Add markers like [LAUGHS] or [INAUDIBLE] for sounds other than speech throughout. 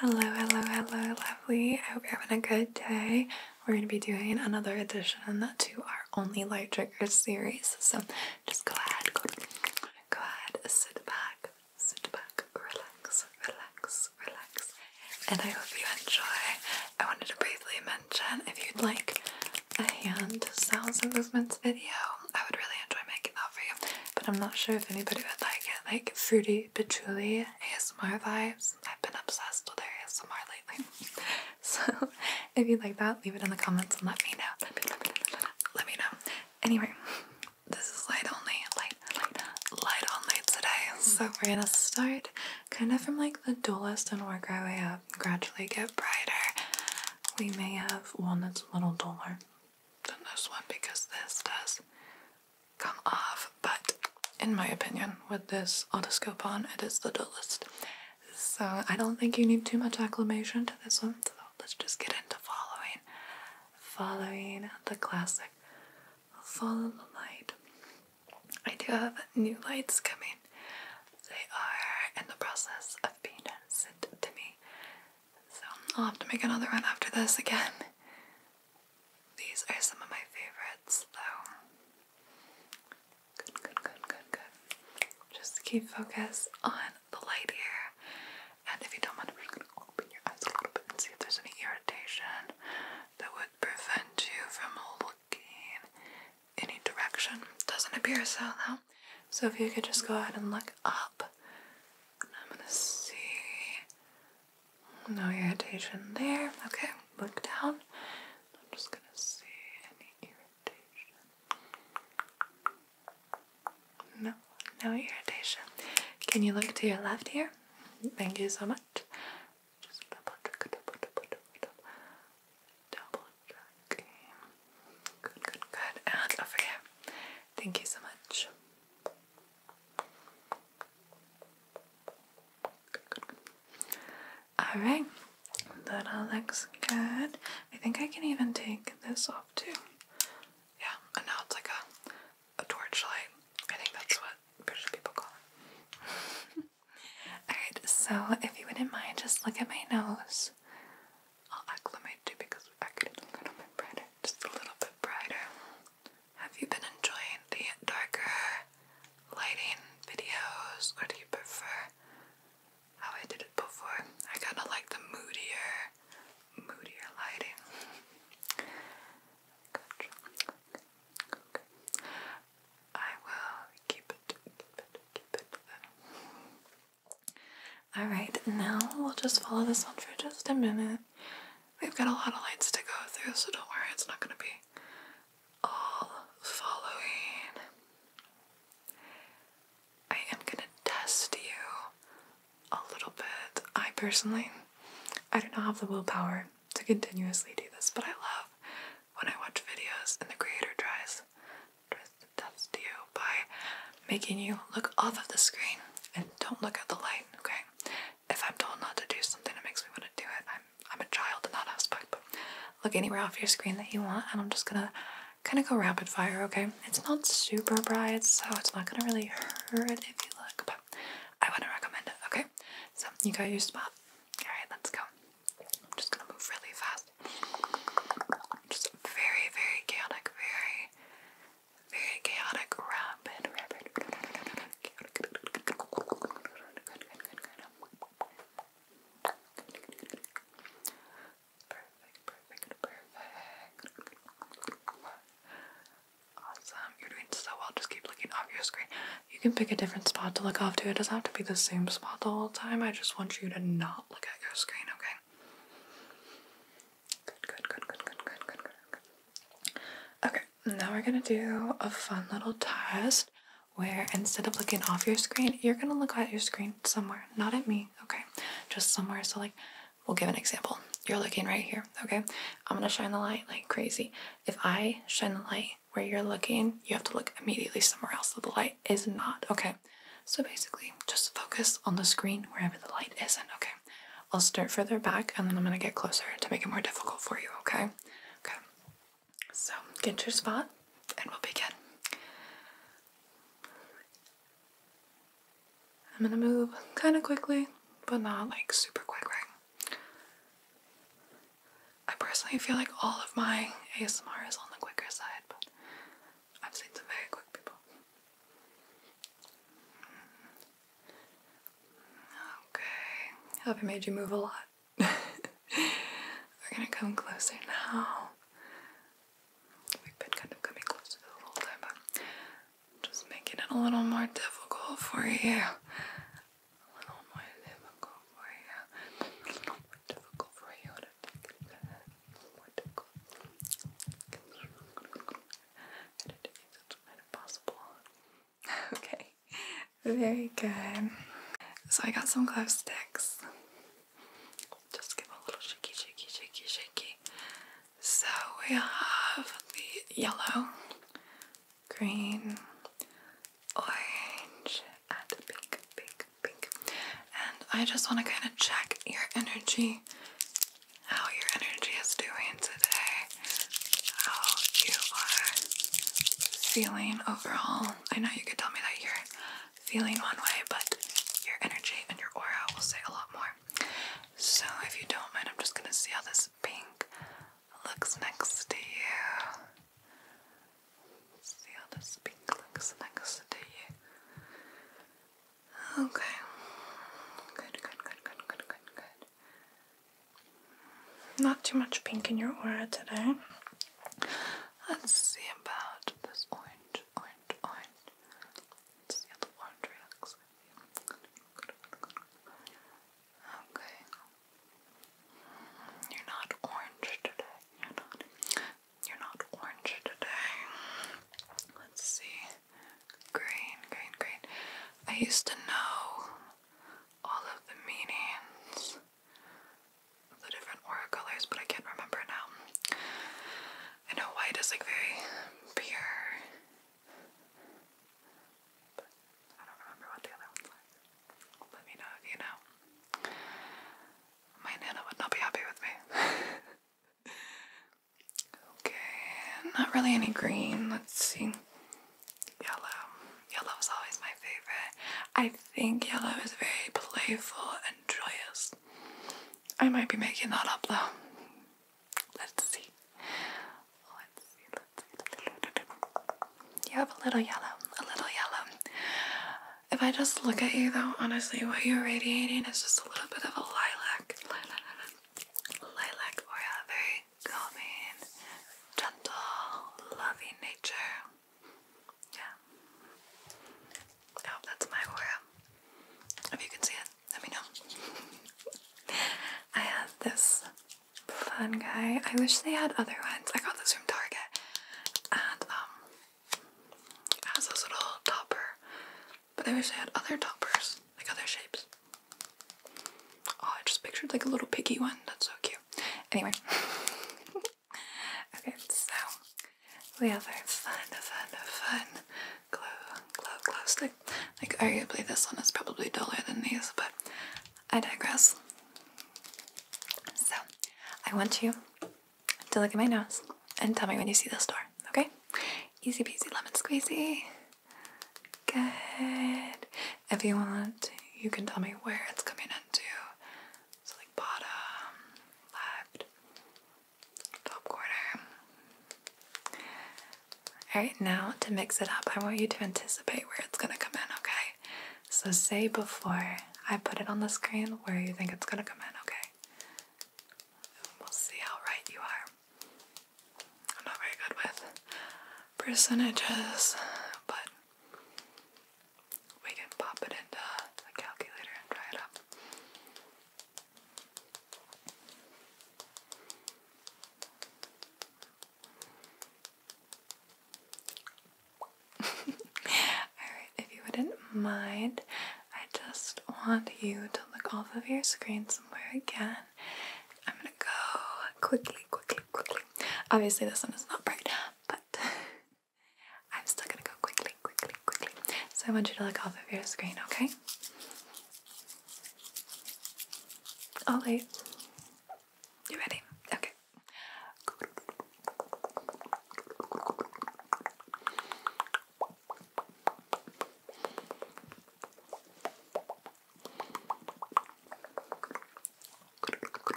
Hello, hello, hello, lovely. I hope you're having a good day. We're going to be doing another edition to our Only Light Triggers series. So just go ahead, go ahead, sit back, sit back, relax, relax, relax. And I hope you enjoy. I wanted to briefly mention if you'd like a hand sounds and movements video, I would really enjoy making that for you but I'm not sure if anybody would like it. Like Fruity Patchouli ASMR vibes. I've been obsessed with ASMR lately. [LAUGHS] so if you like that, leave it in the comments and let me know. Let me know. Anyway, this is light only, light, light, light only today. So we're gonna start kind of from like the dullest and work our way up, gradually get brighter. We may have one that's a little duller than this one because this does come off, but in my opinion, with this autoscope on, it is the dullest. So I don't think you need too much acclimation to this one, so let's just get into following. Following the classic. Follow the light. I do have new lights coming. They are in the process of being sent to me. So I'll have to make another run after this again. These are some of my favorites though. Just keep focus on the light here. And if you don't mind, I'm gonna open your eyes a little bit and see if there's any irritation that would prevent you from looking any direction. Doesn't appear so though. So if you could just go ahead and look up I'm gonna see. No irritation there. Okay, look down. I'm just gonna see any irritation. No, no irritation. Can you look to your left here? Thank you so much. Just double check, double, double, double, double, double check. Good, good, good. And over here. Thank you so much. Alright, that all looks good. I think I can even take this off too. Yeah, and now it's like a, a torch light. I think that's what British people call it. [LAUGHS] Alright, so if you wouldn't mind, just look at my nose. I'll acclimate to because I could a little bit brighter. Just a little bit brighter. Have you been enjoying the darker lighting videos or do you prefer how I did it before? I kind of like the moodier, moodier lighting. Gotcha. Okay. I will keep it, keep it, keep it Alright, now we'll just follow this one for just a minute. We've got a lot of lights to go through, so don't worry, it's not going to be all following. I am going to test you a little bit. I personally, I do not have the willpower to continuously do this, but I love when I watch videos and the creator tries, tries that's you by making you look off of the screen and don't look at the light, okay? If I'm told not to do something it makes me want to do it, I'm, I'm a child in that aspect, but look anywhere off your screen that you want, and I'm just gonna kind of go rapid fire, okay? It's not super bright, so it's not gonna really hurt if you look, but I wouldn't recommend it, okay? So, you got your spot. Alright, let's go. I'm just gonna move really fast. Just very, very chaotic, very very chaotic rapid rapid Perfect, perfect, perfect. Awesome. You're doing so well. Just keep looking off your screen. You can pick a different spot to look off to. It doesn't have to be the same spot the whole time. I just want you to not look at your screen, okay? Good, good, good, good, good, good, good, good. Okay, now we're gonna do a fun little test where instead of looking off your screen, you're gonna look at your screen somewhere, not at me, okay? Just somewhere. So, like, we'll give an example. You're looking right here, okay? I'm gonna shine the light like crazy. If I shine the light where you're looking, you have to look immediately somewhere else So the light is not, okay? so basically just focus on the screen wherever the light isn't, okay? I'll start further back and then I'm gonna get closer to make it more difficult for you, okay? Okay, so get your spot and we'll begin. I'm gonna move kind of quickly, but not like super quick, right? I personally feel like all of my ASMR is on the quicker side, but I've seen some very quick people. Okay, hope I made you move a lot. [LAUGHS] We're gonna come closer now. We've been kind of coming closer the whole time, but just making it a little more difficult for you. A little more difficult for you difficult for you to take it it is kind Okay, very good. So I got some glove sticks. Just give a little shaky, shaky, shaky, shaky. So we have the yellow, green, orange, and pink, pink, pink. And I just want to kind of check your energy, how your energy is doing today, how you are feeling overall. I know you could tell me that you're feeling one way, but your energy and your aura will say a lot more. So, if you don't mind, I'm just going to see how this pink looks next to you see how this pink looks next to Okay. Good, good, good, good, good, good, Not too much pink in your aura today. Let's see about this orange, orange, orange. Let's see how the orange reacts Okay. You're not orange today. You're not. You're not orange today. Let's see. Green, green, green. I used to know all of the meanings of the different aura colors, but I can't remember now. I know white is like very pure. But I don't remember what the other ones are. Let me know if you know. My nana would not be happy with me. [LAUGHS] okay, not really any green. Let's see. Yellow. Yellow is always my favorite. I think yellow is very playful and joyous. I might be making that up though. Let's see. Let's see. Let's see. You have a little yellow. A little yellow. If I just look at you though, honestly, what you're radiating is just a little bit of a lilac. Lilac or very calming, gentle, loving nature. Yeah. I oh, that's my aura. If you can see it, let me know. [LAUGHS] I have this fun guy. I wish they had other ones. I got this from Target. And um it has those little topper, but I wish they had other toppers, like other shapes. Oh, I just pictured like a little piggy one. That's so cute. Anyway. [LAUGHS] okay, so the other fun, fun, fun glow, glow, glow stick. Like, arguably, this one is probably duller than these, but I digress. So, I want you to look at my nose and tell me when you see the store, okay? Easy peasy lemon squeezy. Good. If you want, you can tell me where it's coming into. It's like bottom, left, top corner. Alright, now to mix it up, I want you to anticipate where it's gonna come in, okay? So say before I put it on the screen where you think it's gonna come in, okay? We'll see how right you are. I'm not very good with percentages, but we can pop it into calculator and try it out. [LAUGHS] Alright, if you wouldn't mind, I just want you to look off of your screen somewhere again. I'm gonna go quickly, quickly, quickly. Obviously, this one is not bright, but [LAUGHS] I'm still gonna go quickly, quickly, quickly. So I want you to look off of your screen, okay? All right. You ready? Okay.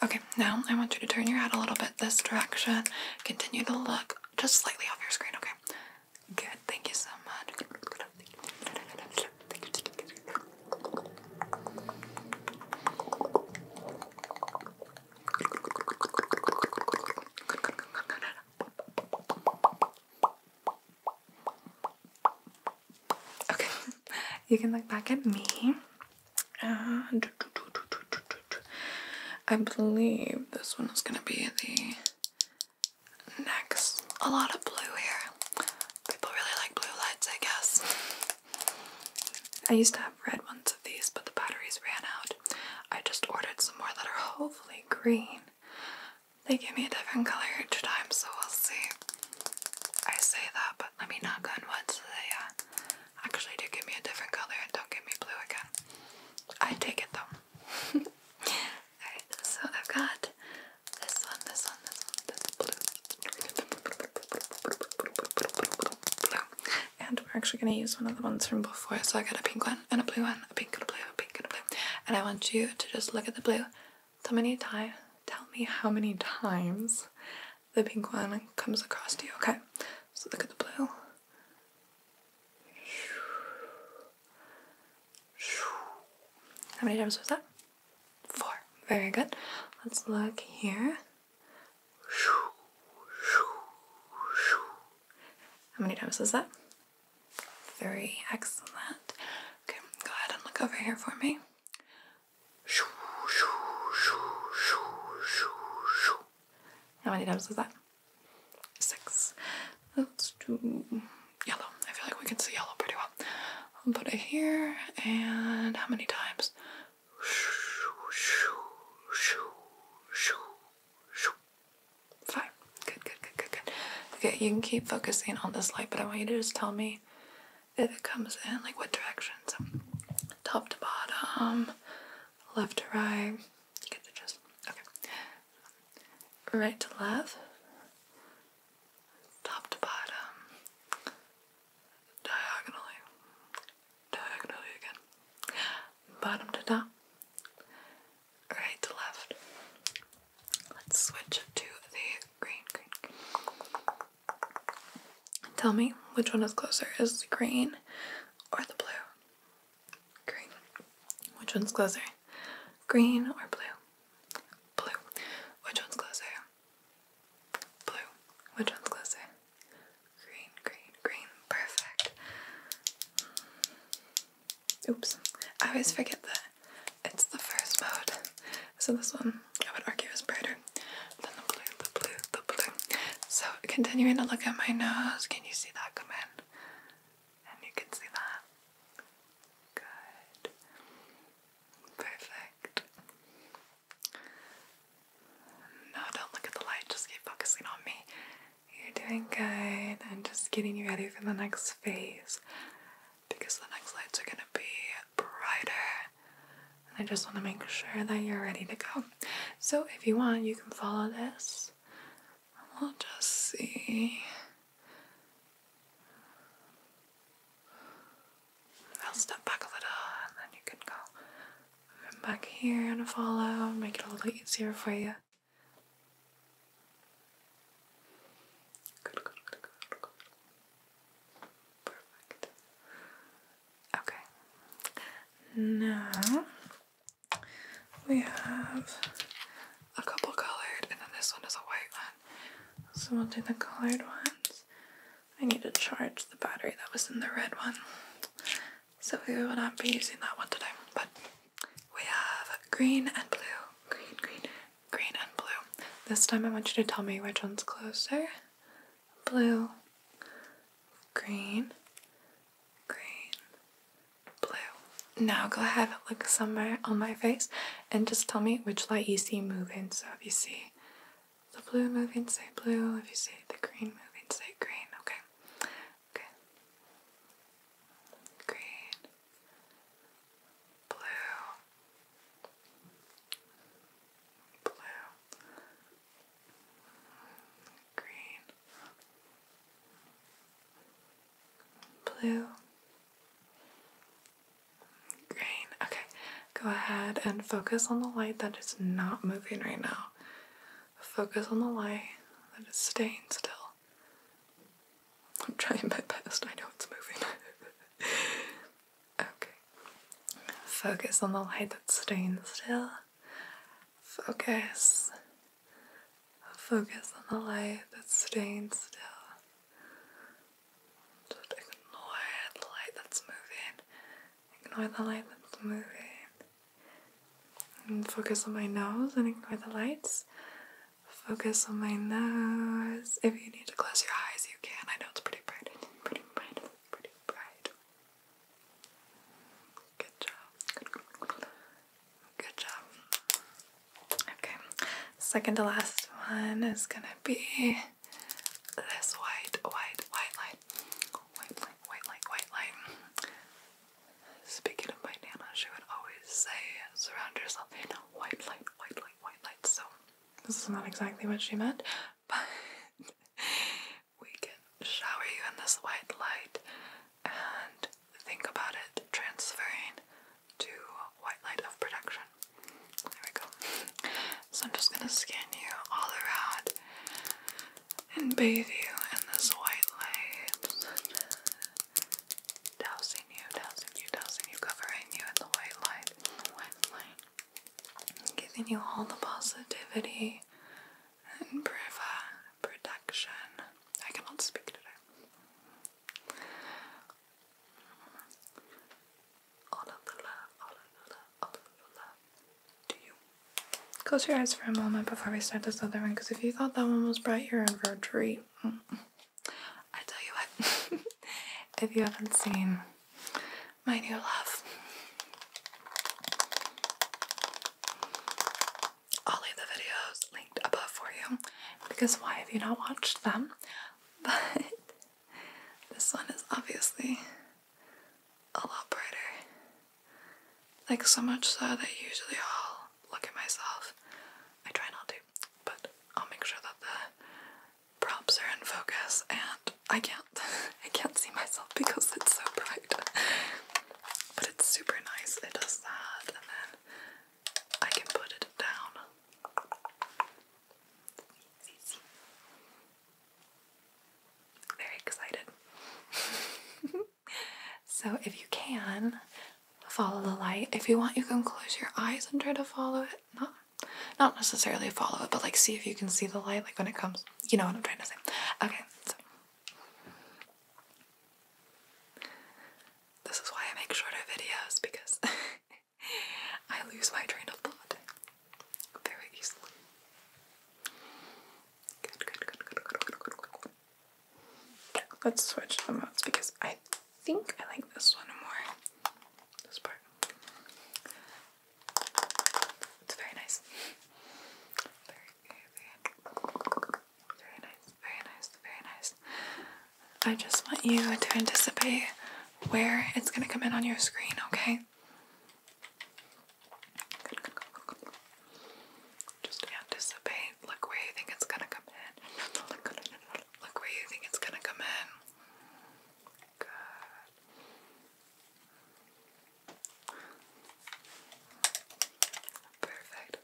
Okay, now I want you to turn your head a little bit this direction. Continue to look just slightly off your screen, okay? Good, thank you so much. Okay, [LAUGHS] you can look back at me. I believe this one is gonna be the next. A lot of blue here. People really like blue lights, I guess. I used to have red ones of these, but the batteries ran out. I just ordered some more that are hopefully green. They give me a different color each time, so we'll see. I say that, but let me knock on wood so they uh, actually do give me a different color and don't give me blue again. I take it though. [LAUGHS] Alright, so I've got this one, this one, this one, this blue. Blue. And we're actually going to use one of the ones from before. So I got a pink one and a blue one, a pink and a blue, a pink and a blue. And I want you to just look at the blue. Tell me, time, tell me how many times the pink one comes across to you. Okay. So look at the blue. How many times was that? four. Very good. Let's look here. How many times was that? Three. Excellent. Okay, go ahead and look over here for me. How many times was that? Six. Let's do yellow. I feel like we can see yellow pretty well. I'll put it here, and how many times? Five. Good, good, good, good, good. Okay, you can keep focusing on this light, but I want you to just tell me if it comes in, like what direction. top to bottom, left to right. Right to left, top to bottom, diagonally, diagonally again, bottom to top, right to left. Let's switch to the green, green. Tell me which one is closer, is the green or the blue? Green. Which one's closer? Green or blue? Blue. Which one's closer? Blue. Which one's closer? Green, green, green. Perfect. Mm. Oops. I always forget that it's the first mode. So this one, I would argue, is brighter than the blue, the blue, the blue. So continuing to look at my nose, can you see that come in? And you can see that. Good. Perfect. No, don't look at the light, just keep focusing on me. You're doing good and just getting you ready for the next phase because the next lights are gonna be brighter. And I just want to make sure that you're ready to go. So, if you want, you can follow this. We'll just see. I'll step back a little and then you can go back here and follow, make it a little easier for you. Good, good, good, good, good. Perfect. Okay. Now we have a couple colored, and then this one is a white one. So we'll do the colored ones. I need to charge the battery that was in the red one. So we will not be using that one today. But we have green and blue. Green, green, green and blue. This time I want you to tell me which one's closer. Blue, green, green, blue. Now go ahead, and look somewhere on my face and just tell me which light you see moving. So if you see the blue moving, say blue. If you see the green moving, say green. Okay. Okay. Green. Blue. Blue. Green. Blue. Green. Okay, go ahead and focus on the light that is not moving right now. Focus on the light that is staying still. I'm trying my best, I know it's moving. [LAUGHS] okay. Focus on the light that's staying still. Focus. Focus on the light that's staying still. Just ignore the light that's moving. Ignore the light that's moving. focus on my nose and ignore the lights. Focus on my nose. If you need to close your eyes, you can. I know it's pretty bright. pretty bright. pretty bright. Good job. Good job. Okay, second to last one is gonna be this white, white, white light. White light, white light, white light. Speaking of my Nana, she would always say, surround yourself in white light, white light, white light. So, this is not exactly what she meant, [LAUGHS] but we can shower you in this white light and think about it transferring to white light of production. There we go. So I'm just gonna scan you all around and bathe you in this white light. Dousing you, dousing you, dousing you, covering you in the white light, the white light. Giving you all the positivity and production. I cannot speak today. Close your eyes for a moment before we start this other one, because if you thought that one was bright, you're in for a treat. I tell you what, [LAUGHS] if you haven't seen my new love, I'll leave the videos linked above for you because why have you not watched them? [LAUGHS] But this one is obviously a lot brighter. Like, so much so that usually I'll look at myself. I try not to, but I'll make sure that the props are in focus and I can't. [LAUGHS] I can't see myself because it's so bright. [LAUGHS] but it's super nice. It does that, and then I can put it down. Very excited. [LAUGHS] so, if you can, follow the light. If you want, you can close your eyes and try to follow it. Not, not necessarily follow it, but like see if you can see the light, like when it comes. You know what I'm trying to say. Okay, this is why I make shorter videos because [LAUGHS] I lose my train of thought very easily. Good, good, good, good, good, good, good, good. Let's switch the modes because I think I like this one more. This part. It's very nice. Very, very, very nice, very nice, very nice. I just want you to anticipate where it's going to come in on your screen, okay? Good, good, good, good. Just anticipate. Look where you think it's going to come in. Look where you think it's going to come in. Perfect.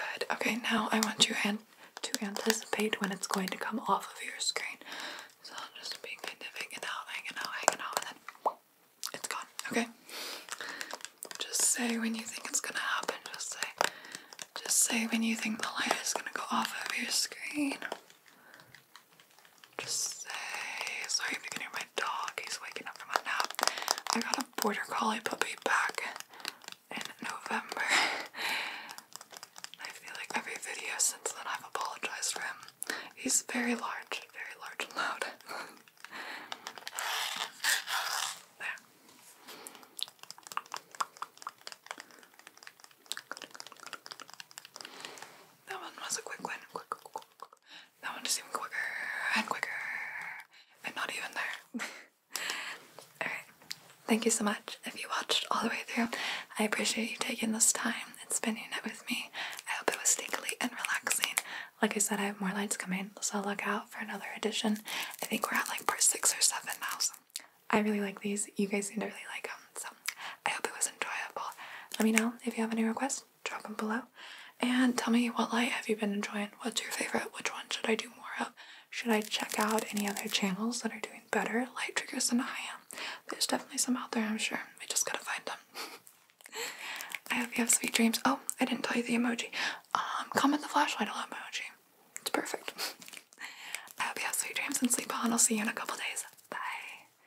Good. Okay, now I want you to anticipate when it's going to come off of your screen. So I'll just be kind of hanging out, hanging out, hanging out, and then it's gone. Okay. Just say when you think it's gonna happen. Just say, just say when you think the light is gonna go off of your screen. Just say sorry if you can hear my dog. He's waking up from a nap. I got a border collie puppy back in November. I feel like every video since then I've apologized for him. He's very large, very large loud. there. That one was a quick one. That one just even quicker and quicker and not even there. [LAUGHS] Alright, thank you so much if you watched all the way through. I appreciate you taking this time and spending it with me. I hope it was sneakily and relaxing. Like I said, I have more lights coming, so look out for another edition. I think we're at like part six or seven now, so I really like these. You guys seem to really like them, so I hope it was enjoyable. Let me know if you have any requests drop them below. And tell me what light have you been enjoying? What's your favorite? Which one should I do more of? Should I check out any other channels that are doing better light triggers than I am? There's definitely some out there, I'm sure. We just gotta find them. [LAUGHS] I hope you have sweet dreams. Oh, I didn't tell you the emoji. Um, comment the flashlight alone emoji. It's perfect. [LAUGHS] I hope you have sweet dreams and sleep on. I'll see you in a couple days. Bye.